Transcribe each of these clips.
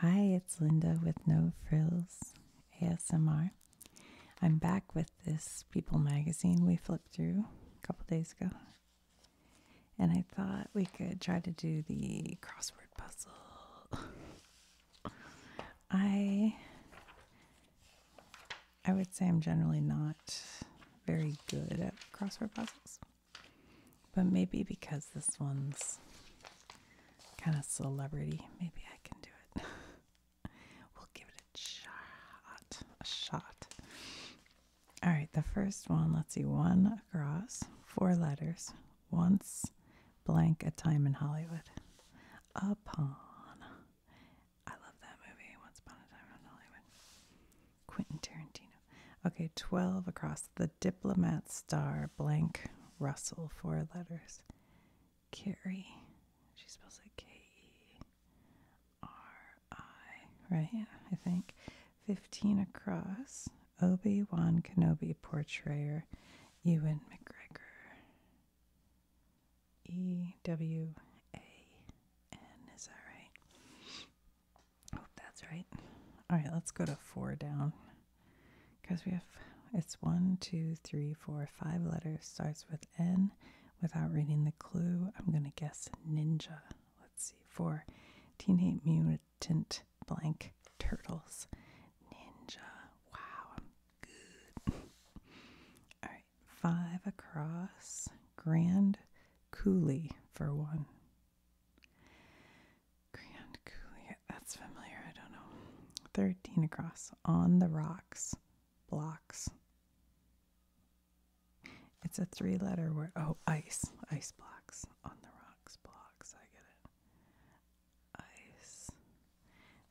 Hi, it's Linda with No Frills ASMR. I'm back with this People magazine we flipped through a couple days ago. And I thought we could try to do the crossword puzzle. I I would say I'm generally not very good at crossword puzzles. But maybe because this one's kind of celebrity, maybe I can do it. we'll give it a shot. A shot. All right, the first one, let's see, one across, four letters, once, blank, a time in Hollywood. Upon. I love that movie, Once Upon a Time in Hollywood. Quentin Tarantino. Okay, 12 across the diplomat star blank Russell, four letters. Carrie. She spells like K E R I, right? I think. 15 across. Obi Wan Kenobi portrayer Ewan McGregor. E W A N, is that right? Oh, that's right. All right, let's go to four down because we have it's one, two, three, four, five letters. Starts with N. Without reading the clue, I'm gonna guess ninja. Let's see. Four, teenage mutant blank turtles. Ninja. Wow, good. All right, five across. Grand Coulee for one. Grand Coulee, that's familiar, I don't know. 13 across, on the rocks, blocks. It's a three letter word. Oh, ice, ice blocks, on the rocks, blocks, I get it. Ice.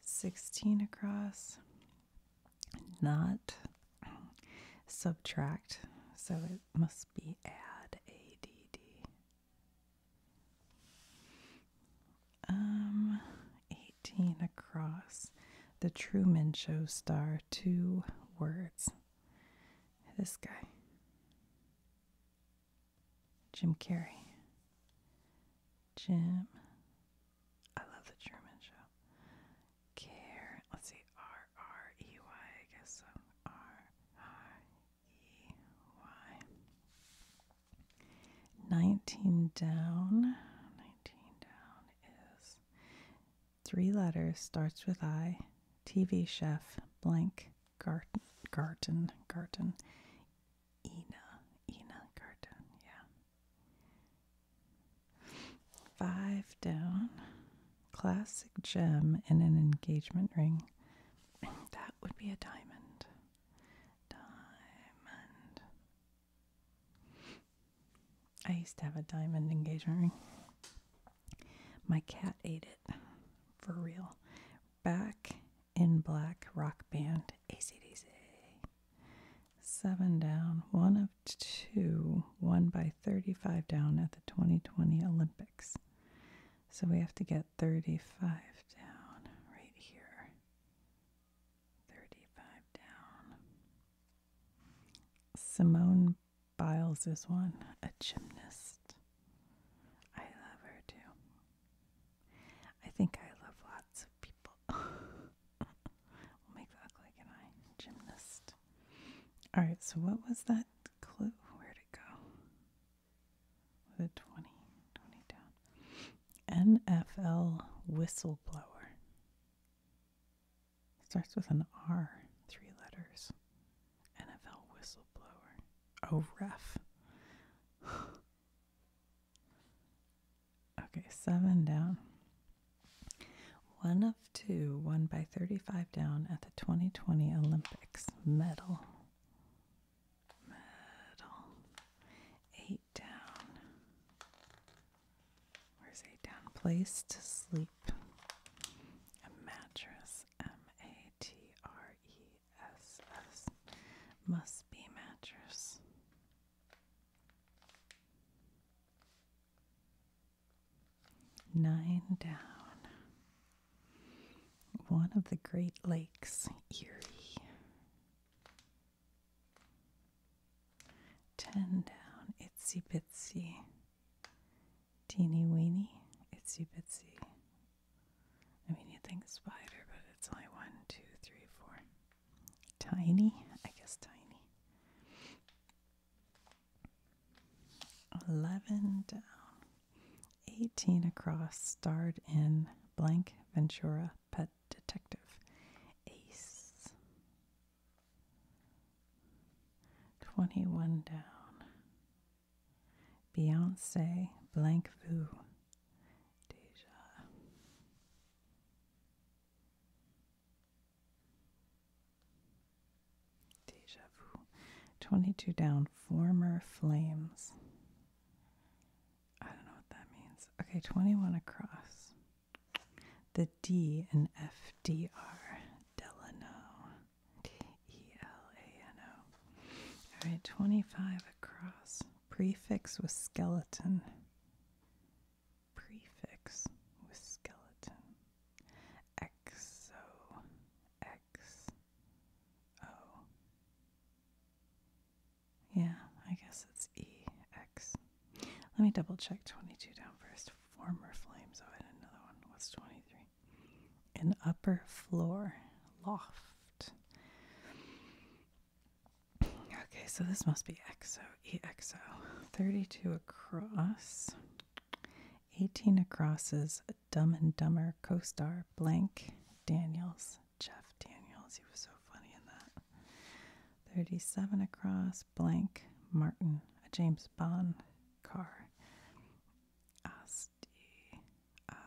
16 across, not subtract, so it must be add, A D D. Um, 18 across. The Truman Show star, two words. This guy, Jim Carrey. Jim, I love the Truman Show. Care, let's see, R R E Y, I guess so. R R E-Y. 19 down. 19 down is three letters, starts with I. TV chef blank Garten. Garten. Garten. Ina. Ina Garten. Yeah. Five down. Classic gem in an engagement ring. That would be a diamond. Diamond. I used to have a diamond engagement ring. My cat ate it. For real. Back in black rock band. ACDC. Seven down. One of two. Won by 35 down at the 2020 Olympics. So we have to get 35 down right here. 35 down. Simone Biles is one, a gymnast. I love her too. I think I love lots of people. we'll make that look like an eye. Gymnast. Alright, so what was that clue? where to go? with a 20, down. NFL whistleblower. Starts with an R, three letters. NFL whistleblower. A ref. okay, seven down. One of two won by 35 down at the 2020 Olympics graphics. Metal. Metal. Eight down. Where's eight down? Place to sleep. A mattress. M A T R E S S. Must be mattress. Nine down. One of the Great Lakes, Erie. Ten down, itsy bitsy. Teeny weeny, itsy bitsy. I mean, you think spider, but it's only one, two, three, four. Tiny, I guess tiny. 11 down, 18 across, starred in blank Ventura Pet Detective. Ace. 21 down. Beyonce blank Vu. Deja. Deja vu. 22 down. Former flames. I don't know what that means. Okay, 21 across. The D and F D R. Delano. D E L A N O. All right, 25 across. Prefix with skeleton. Prefix with skeleton. XO X O. Yeah, I guess it's EX. Let me double check 22 down first. Former flames. Oh, I had another one. What's 23? An upper floor loft. Okay, so this must be XO, EXO. 32 across. 18 across is Dumb and Dumber co star Blank Daniels. Jeff Daniels, he was so funny in that. 37 Across Blank Martin, a James Bond car. Asti.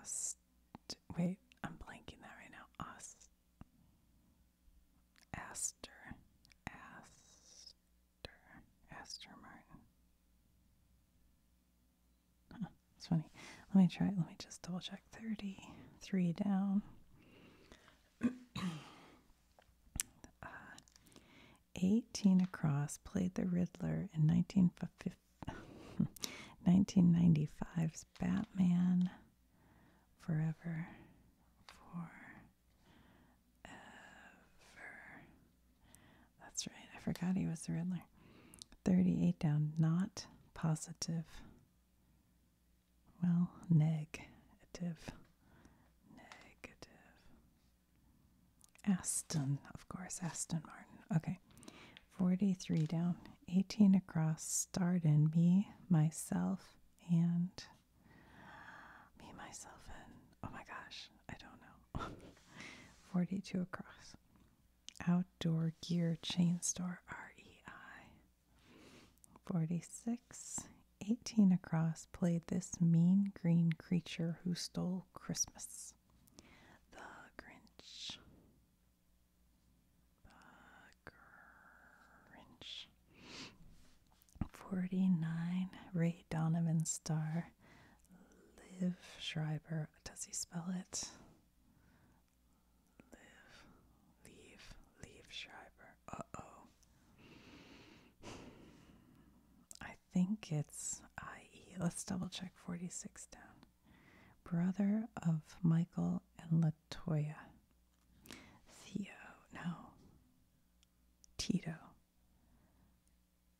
Ast. Wait, I'm blanking that right now. Ast. Aster. Ast actor Astor Martin. it's funny. Let me try Let me just double check. 33 down. 18 across played the Riddler in 1950, 1995's Batman Forever for ever. That's right. I forgot he was the Riddler. 38 down. Not positive. Well, negative. Negative. Aston, of course. Aston Martin. Okay. 43 down. 18 across. Starred in me, myself, and me, myself, and oh my gosh, I don't know. 42 across. Outdoor Gear Chain Store, REI. 46, 18 across, played this mean green creature who stole Christmas. The Grinch. The Grinch. 49, Ray Donovan Star. Liv Schreiber. Does he spell it? Live, leave, leave Schreiber. Uh oh. I think it's IE. Let's double check 46 down. Brother of Michael and Latoya. Theo, no. Tito.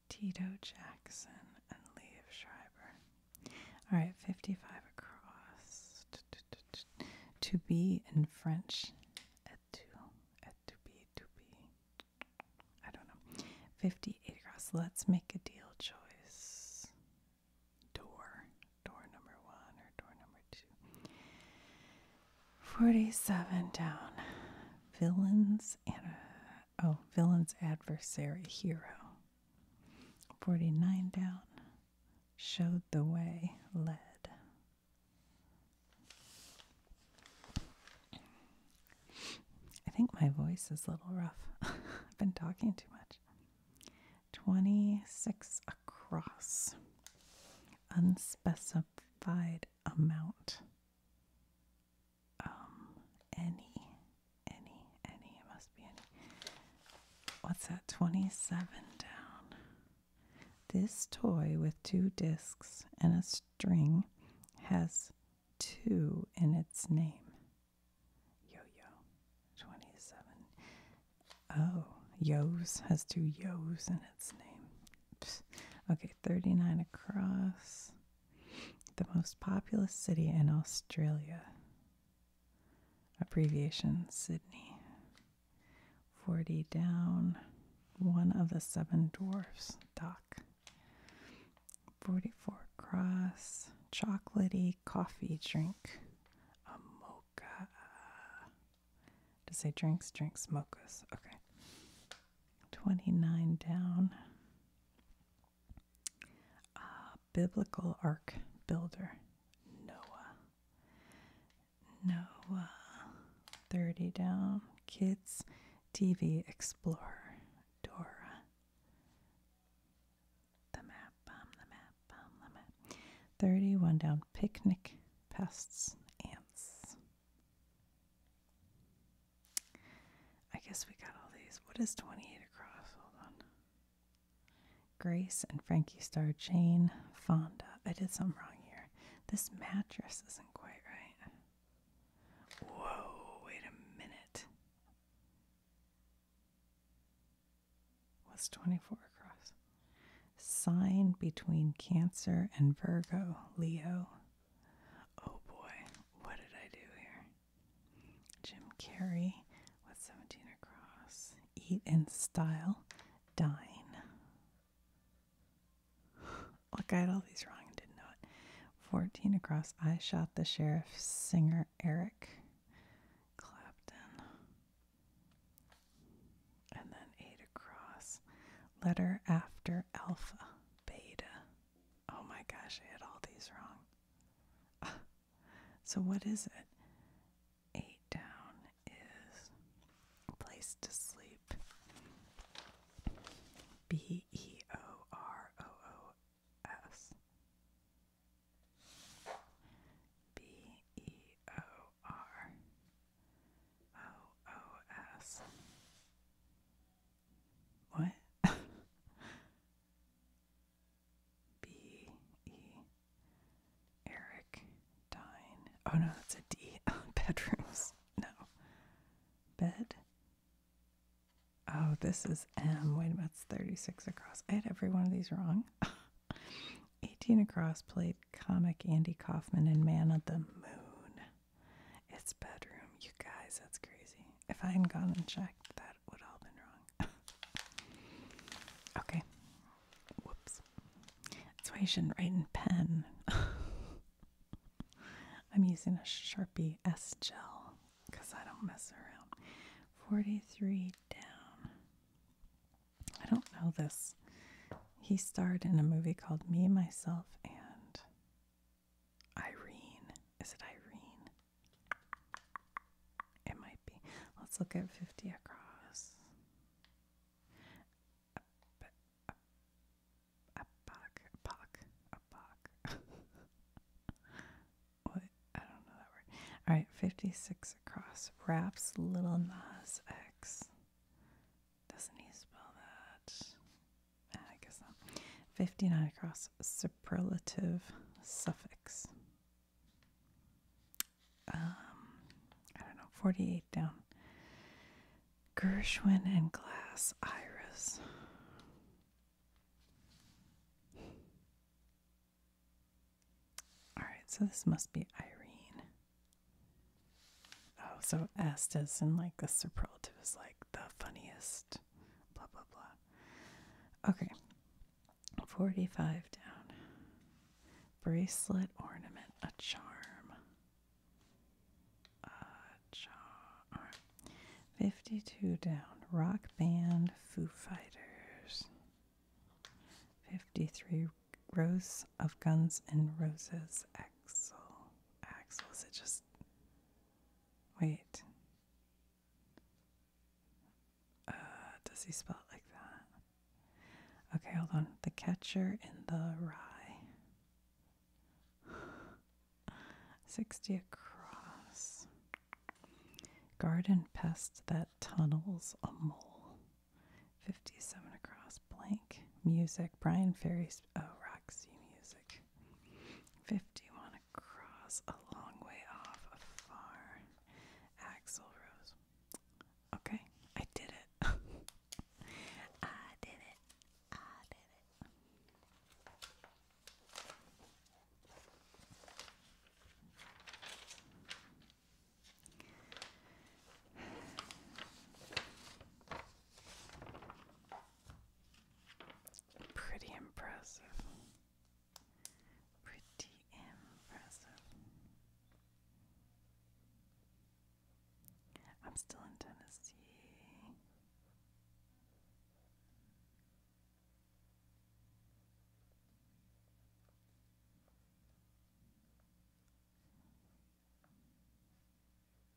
Tito Jackson and Liev Schreiber. All right, 55 across. To be in French, et tu, et tu be, to be. I don't know. 58 across. Let's make a deal choice. Door. Door number one or door number two. 47 down. Villains and oh, villain's adversary hero. 49 down, showed the way, led. I think my voice is a little rough. I've been talking too much. 26 across, unspecified amount um any any any it must be any what's that 27 down this toy with two discs and a string has two in its name yo yo 27 oh yo's has two yo's in its name okay 39 across. The most populous city in Australia. Abbreviation Sydney. 40 down. One of the seven dwarfs. Doc. 44 across. Chocolatey coffee drink. A mocha. To say drinks, drinks, mochas. Okay. 29 down. Uh, biblical ark builder, Noah. Noah. 30 down. Kids, TV Explorer, Dora. The map, um, the map, um, the map. 31 down. Picnic, pests, ants. I guess we got all these. What is 28 across? Hold on. Grace and Frankie Star, Jane, Fonda. I did something wrong here. This mattress isn't quite right. Whoa, wait a minute. What's 24 across? Sign between Cancer and Virgo, Leo. Oh boy, what did I do here? Jim Carrey with 17 across. Eat in style, dine. Look, I had all these wrong and didn't know it. 14 across. I shot the sheriff, singer Eric Clapton. And then 8 across. Letter after alpha beta. Oh my gosh, I had all these wrong. so, what is it? Eight down is place to sleep. B E O R O O S. B E O R O O S. What? B E Eric Dine. Oh no, that's a D. Bedrooms. No. Bed. Oh, this is M. Wait a minute, it's 36 across. I had every one of these wrong. 18 across played comic Andy Kaufman in Man of the Moon. It's bedroom. You guys, that's crazy. If I hadn't gone and checked, that would all been wrong. okay. Whoops. That's why you shouldn't write in pen. I'm using a Sharpie S gel because I don't mess around. 43 down. I don't know this. He starred in a movie called Me, Myself, and Irene. Is it Irene? It might be. Let's look at 50 across. A buck, a buck, a buck. What? I don't know that word. All right, 56 across. Wraps Little Nas X. Doesn't he spell that? I guess not. 59 across superlative suffix. Um, I don't know, 48 down. Gershwin and Glass Iris. Alright, so this must be Irene. Oh, so est is in like the superlative is like the funniest, blah, blah, blah. Okay, 45 down. Bracelet, ornament, a charm. A charm. 52 down. Rock band, Foo Fighters. 53 Rose of Guns and Roses, Axel axe? Was it just. Wait. Uh, does he spell it like that? Okay, hold on. The catcher in the rye. 60 across. Garden pest that tunnels a mole. 57 across. Blank music, Brian Ferry's oh, Roxy music. 51 across, a long way off, afar. Axel Rose. Okay, I did it. I did it. I did it. Pretty impressive. Pretty impressive. I'm still in Tennessee. A rock.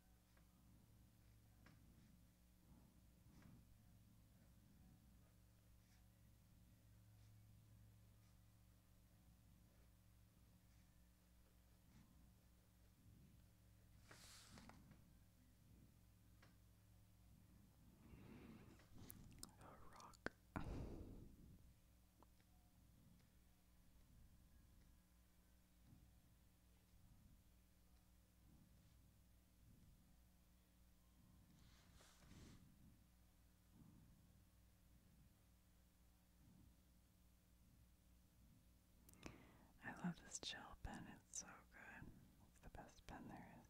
I love this chill pen, it's so good. It's the best pen there is.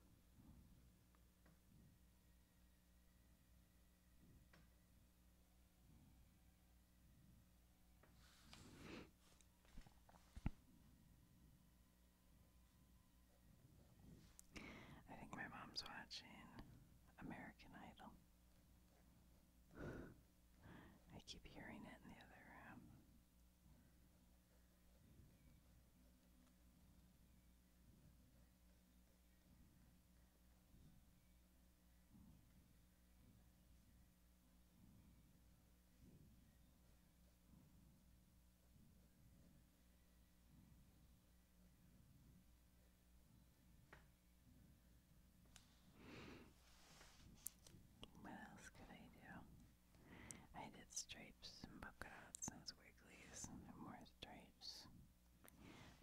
I think my mom's watching American Idol. I keep hearing it in the other room. What else could I do? I did stripes polka dots and squigglies and more stripes.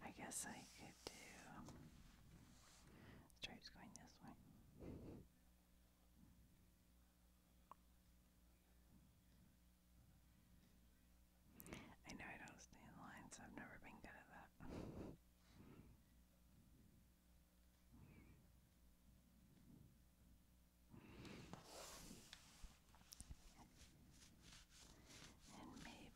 I guess I could do Stripe's going this way. I know I don't stay in I've never been good at that. And maybe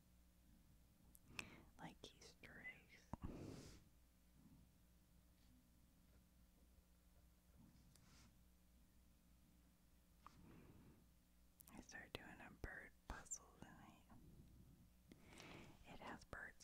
Like Easter eggs. I started doing a bird puzzle tonight. It has birds.